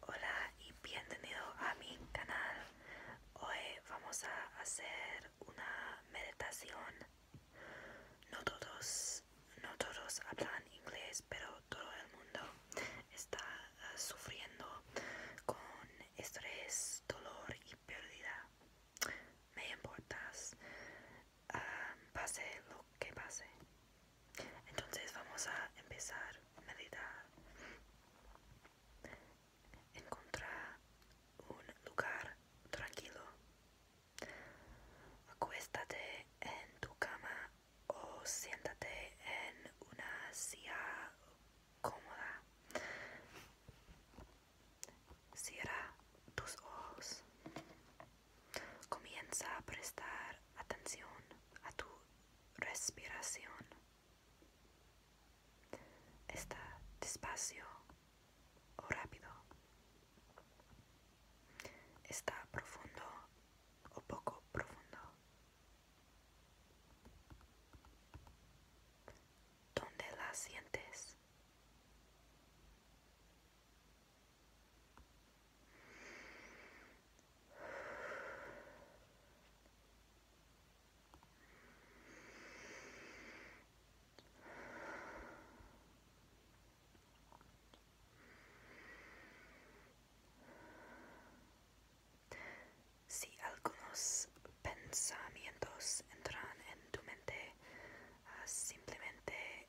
Hola y bienvenido a mi canal. Hoy vamos a hacer una meditación. No todos, no todos hablan inglés, pero todo el mundo está ah, sufriendo con estrés, dolor y pérdida. Me importa. Ah, pase lo que pase. Entonces vamos a empezar a meditar. Encontrar un lugar tranquilo. Acuéstate en tu cama o siéntate en una silla cómoda. Cierra tus ojos. Comienza a prestar atención a tu respiración. Está despacio o rápido. Está profundo o poco profundo. ¿Dónde la sientes? Si algunos pensamientos entran en tu mente, ah, simplemente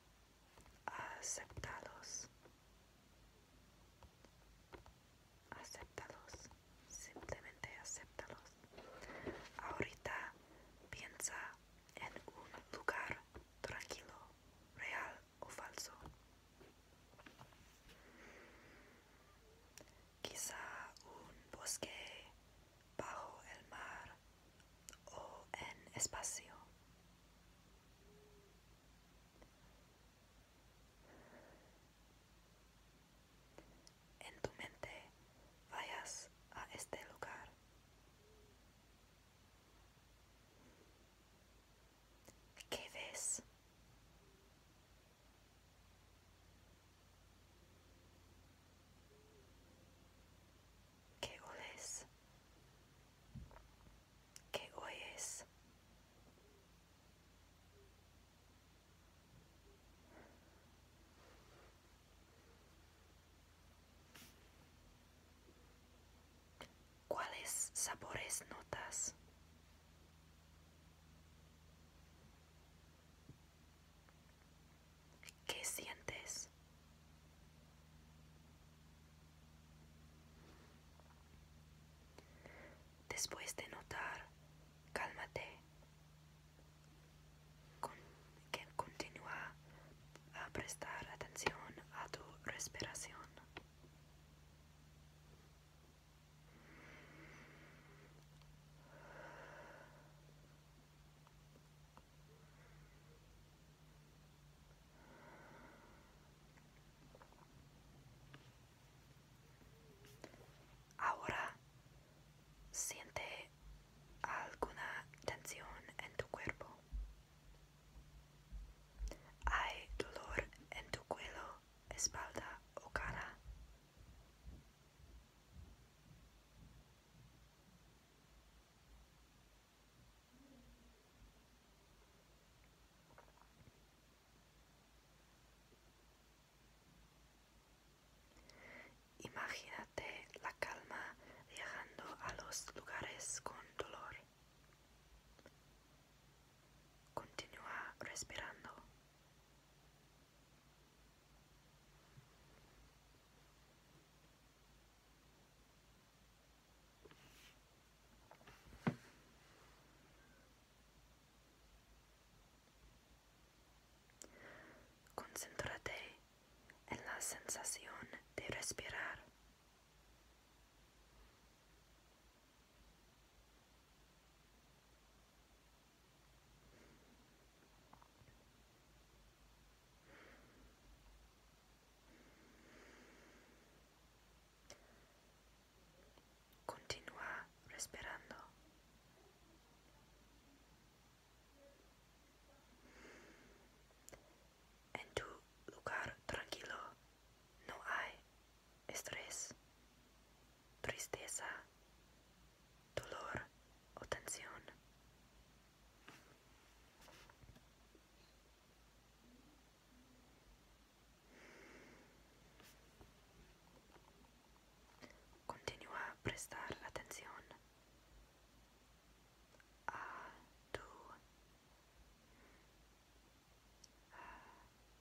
Aceptalos, aceptalos, simplemente aceptalos. ahorita piensa en un lugar tranquilo real o falso quizá un bosque bajo el mar o en espacio. En tu mente vayas a este lugar. ¿Qué ves? ¿Qué Qué ¿Qué oyes. ¿Cuáles sabores notas? ¿Qué sientes? Después de notar, cálmate. Con, que continúa a prestar atención a tu respiración. Ahora siente alguna tensión en tu cuerpo. Hay dolor en tu cuello, espalda o cara. Imagínate la calma viajando a los lugares con dolor. Continúa respirando. Concéntrate en la sensación de respirar. Continúa respirando. En tu lugar tranquilo no hay estrés tristeza, dolor o tensión. Continúa prestar atención a tu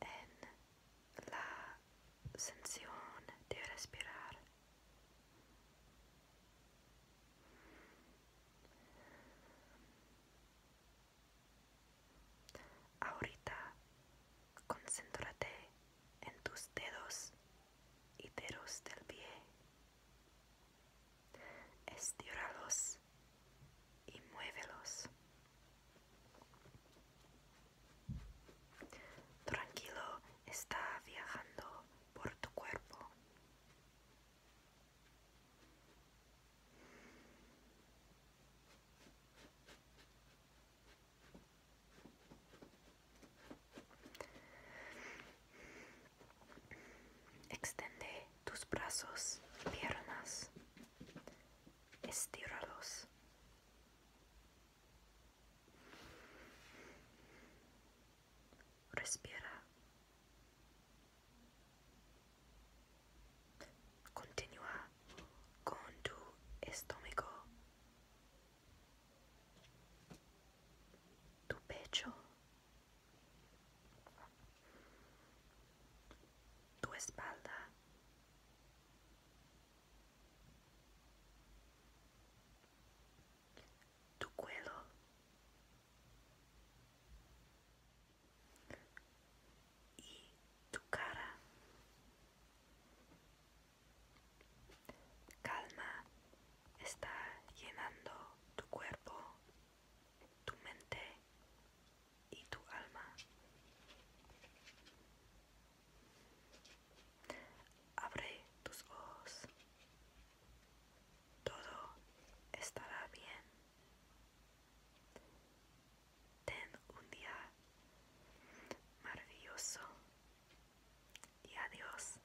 en la sensión de respirar. Ahorita concéntrate en tus dedos y dedos del pie. Estíralos y muévelos. Tranquilo está viajando por tu cuerpo. Extende tus brazos, piernas, estíralos. Respira. Continúa con tu estómago, tu pecho, tu espalda, tu cuello, y tu cara. Calma está llenando tu cuerpo tu mente y tu alma. Abre tus ojos. Todo estará bien. Ten un día maravilloso y adiós.